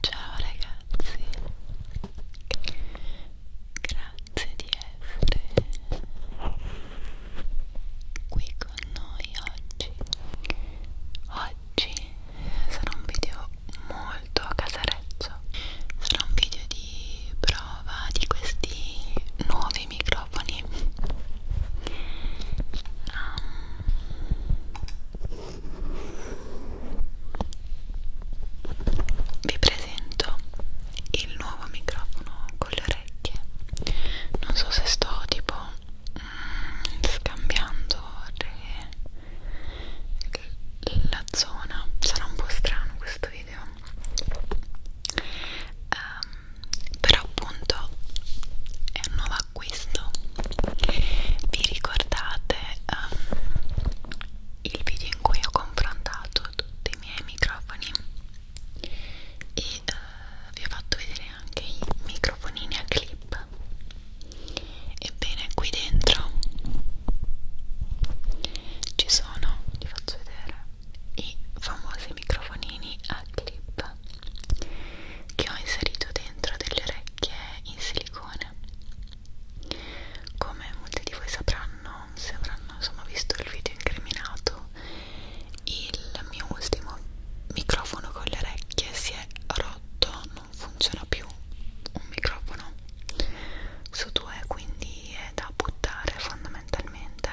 Ciao ragazzi, grazie di essere qui con noi oggi. Oggi oggi sarà un video molto casareccio sarà un video di prova di questi nuovi microfoni um, vi presento il nuovo microfono con le orecchie non so se sto tipo mm, scambiando le la zona sarà un po' strano questo video um, però appunto è un nuovo acquisto vi ricordate um, il video in cui ho confrontato tutti i miei microfoni e uh, vi ho fatto vedere anche i microfonini a clip web ebbene qui dentro ci sono vi faccio vedere i famosi microfonini a clip che ho inserito dentro delle orecchie in silicone come molti di voi sapranno se avranno insomma visto il video incriminato il mio ultimo microfono con le orecchie si è rotto non funziona più un microfono su due quindi è da buttare fondamentalmente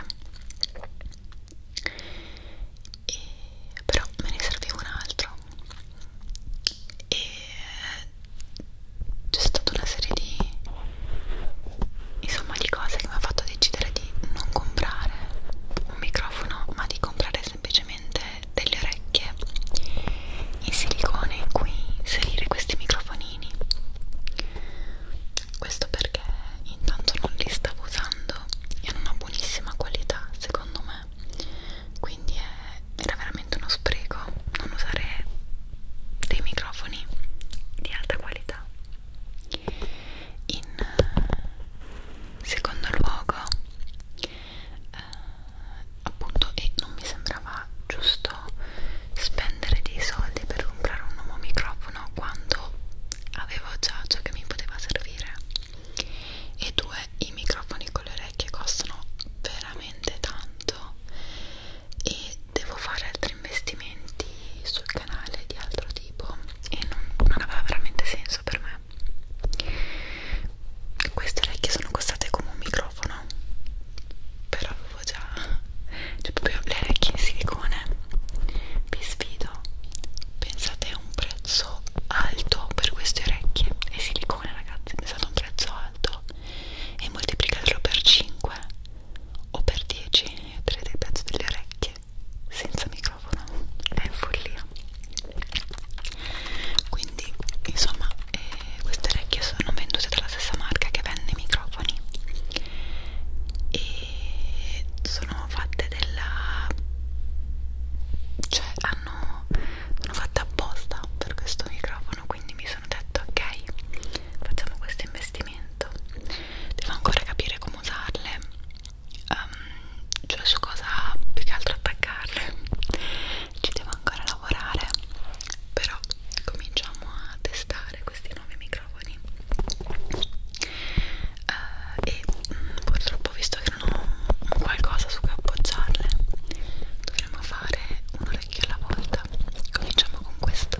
e, però me ne serviva un altro e c'è stata una serie di insomma di cose che mi ha fatto decidere di non comprare un microfono ma di comprare semplicemente delle orecchie in silicone in cui inserire questi microfonini questo perché intanto non li stavo usando e hanno una buonissima qualità secondo me quindi è, era veramente uno spreco non usare dei microfoni di alta qualità in eh, secondo luogo eh, eh, appunto e non mi sembrava giusto spendere dei soldi per comprare un nuovo microfono quando avevo già ciò che mi poteva servire e due i microfoni con le orecchie costano veramente tanto e devo fare altri investimenti sul canale di altro tipo e non, non aveva veramente senso per me queste orecchie sono costate come un microfono però avevo già cioè proprio le orecchie in silicone vi sfido pensate a un prezzo alto per queste orecchie e silicone ragazzi pensate a un prezzo alto e moltiplicatelo per 5 o per 10 e otterrete il prezzo delle orecchie senza microfono è follia quindi insomma eh, queste orecchie sono vendute dalla stessa marca che vende i microfoni e sono fatte della cioè hanno sono fatte apposta per questo microfono quindi mi sono detto ok facciamo questo investimento devo ancora capire come usarle um, cioè su cosa più che altro attaccarle ci devo ancora lavorare però cominciamo a testare questi nuovi microfoni uh, e mh, mm, purtroppo visto che non ho qualcosa su cui appoggiarle dovremmo fare un orecchio alla volta cominciamo con questo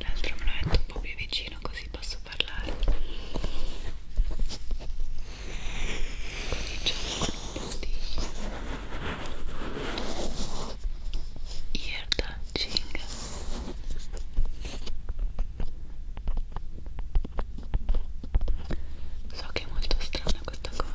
l'altro me lo metto un po' più vicino così posso parlare cominciamo con un po' di ear touching So che è molto strana questa cosa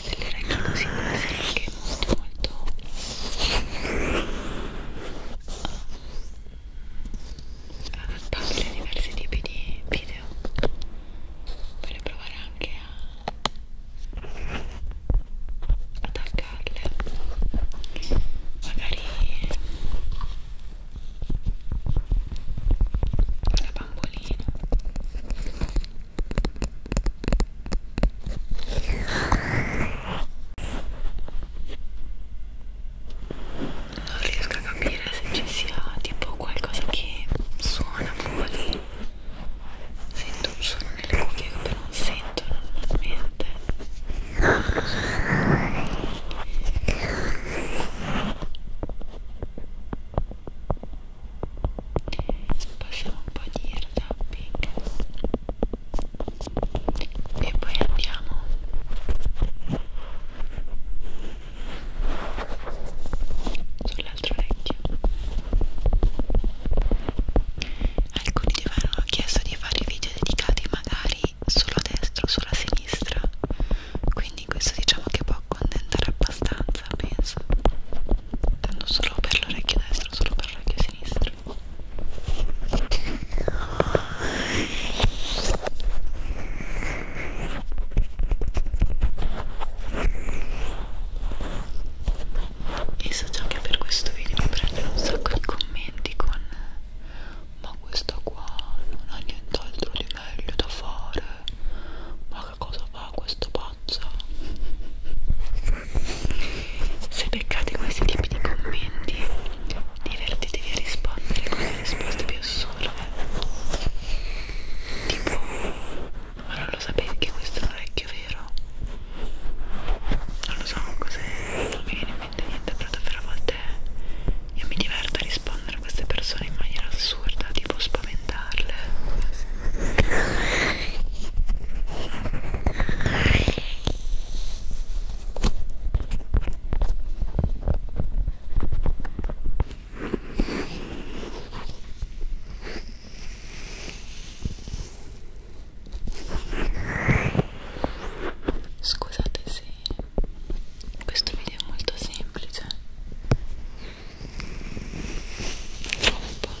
delle regole così può essere anche molto molto adattabile a diversi tipi di video voglio provare anche a attaccarle magari alla bambolina non riesco a capire se ci sia tipo qualcosa che suona fuori. Sento un suono nelle cuffie che però non sento normalmente passiamo un po' di tapping e poi andiamo sull'altro orecchio alcuni di voi hanno chiesto di fare video dedicati magari solo a destra o solo a sinistra quindi questo diciamo che può accontentare abbastanza penso intendo solo per l'orecchio destro, solo per l'orecchio sinistro e so già che per questo video mi prendono un sacco di commenti con ma questa qua non ha nient'altro di meglio da fare ma che cosa fa questo pazzo faccia se beccate questi tipi di commenti divertitevi a rispondere con le risposte più assurde tipo ma non lo sapevi che questo è un orecchio vero? non lo so cos'è non mi viene in mente niente però davvero a volte io mi diverto a rispondere a queste persone in maniera assurda tipo spaventarle Scusate se questo video è molto semplice. Troppo.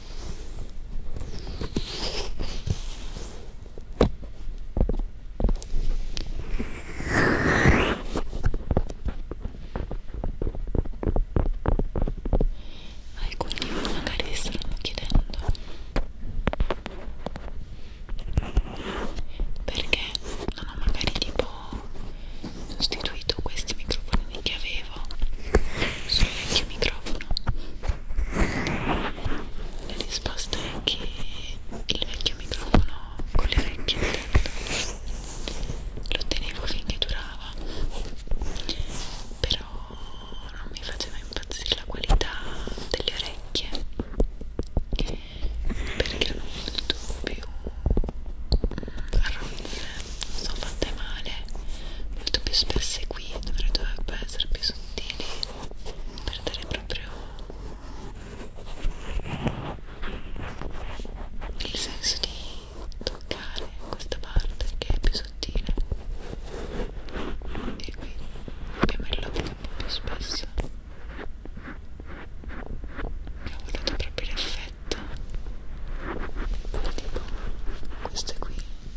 Alcuni magari si stanno chiedendo perché non ho magari tipo sostituito questi microfonini che avevo avevo sul vecchio microfono la risposta è che il vecchio microfono con le orecchie lo tenevo finché durava però non mi faceva impazzire la qualità delle orecchie perché erano molto più arronze non sono fatte male molto più spesse qui dovrebbero dovrebbe essere più sottili per dare proprio il senso di toccare questa parte che è più sottile e qui abbiamo il logo un po' più spesso ho voluto proprio l'effetto tipo questo qui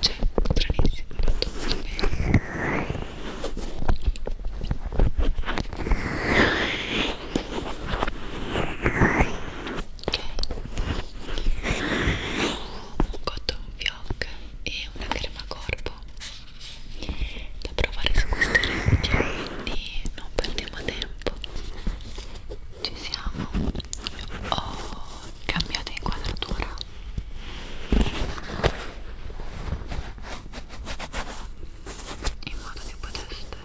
cioè stranissimo ho fatto molto bene ok cotton fioc e una crema corpo da provare su queste orecchie quindi non perdiamo tempo ci siamo oh cambiate inquadratura in modo che poteste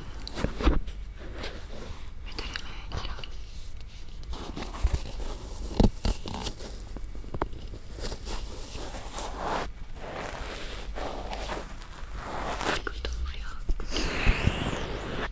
vedere meglio Ecco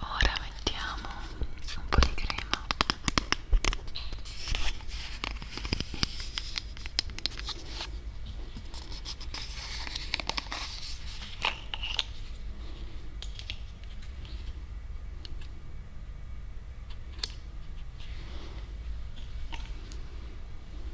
ora mettiamo un po' di crema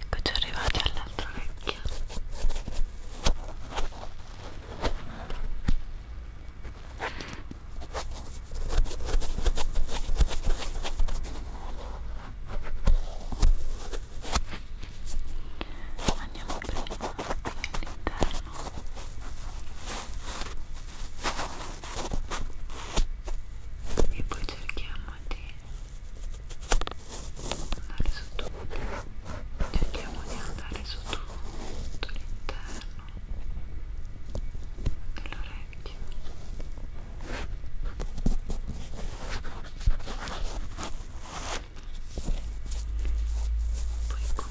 Eccoci arrivati all'altro orecchio. Andiamo prima all'interno. E poi cerchiamo di andare su tutto cerchiamo di andare su tutto l'interno dell'orecchio poi qui Qui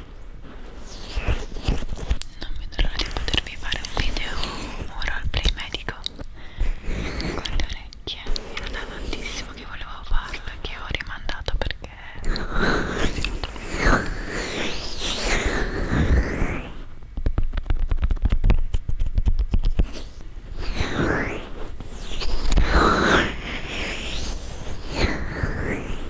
non vedo l'ora di potervi fare un video un roleplay medico con le orecchie era da tantissimo che volevo farlo e che ho rimandato perché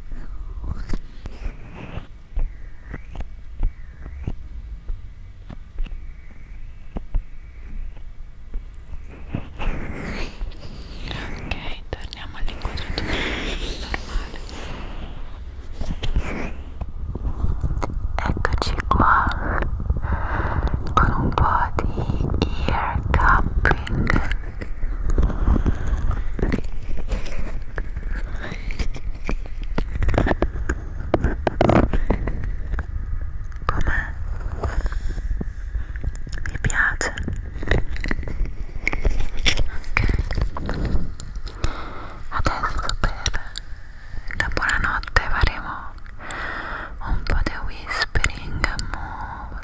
Ok, torniamo all'inquadratura normale. Eccoci qua con un po' di ear cupping Com'è? Mi piace? Ok. Adesso per la buonanotte faremo un po' di whispering, move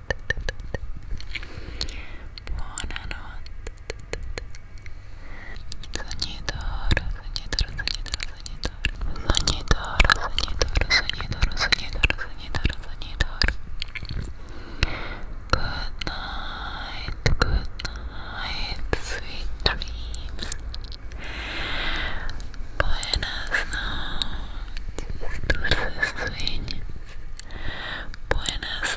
Good night, good night, sweet dreams. Buenas noches, dulces sueños. Buenas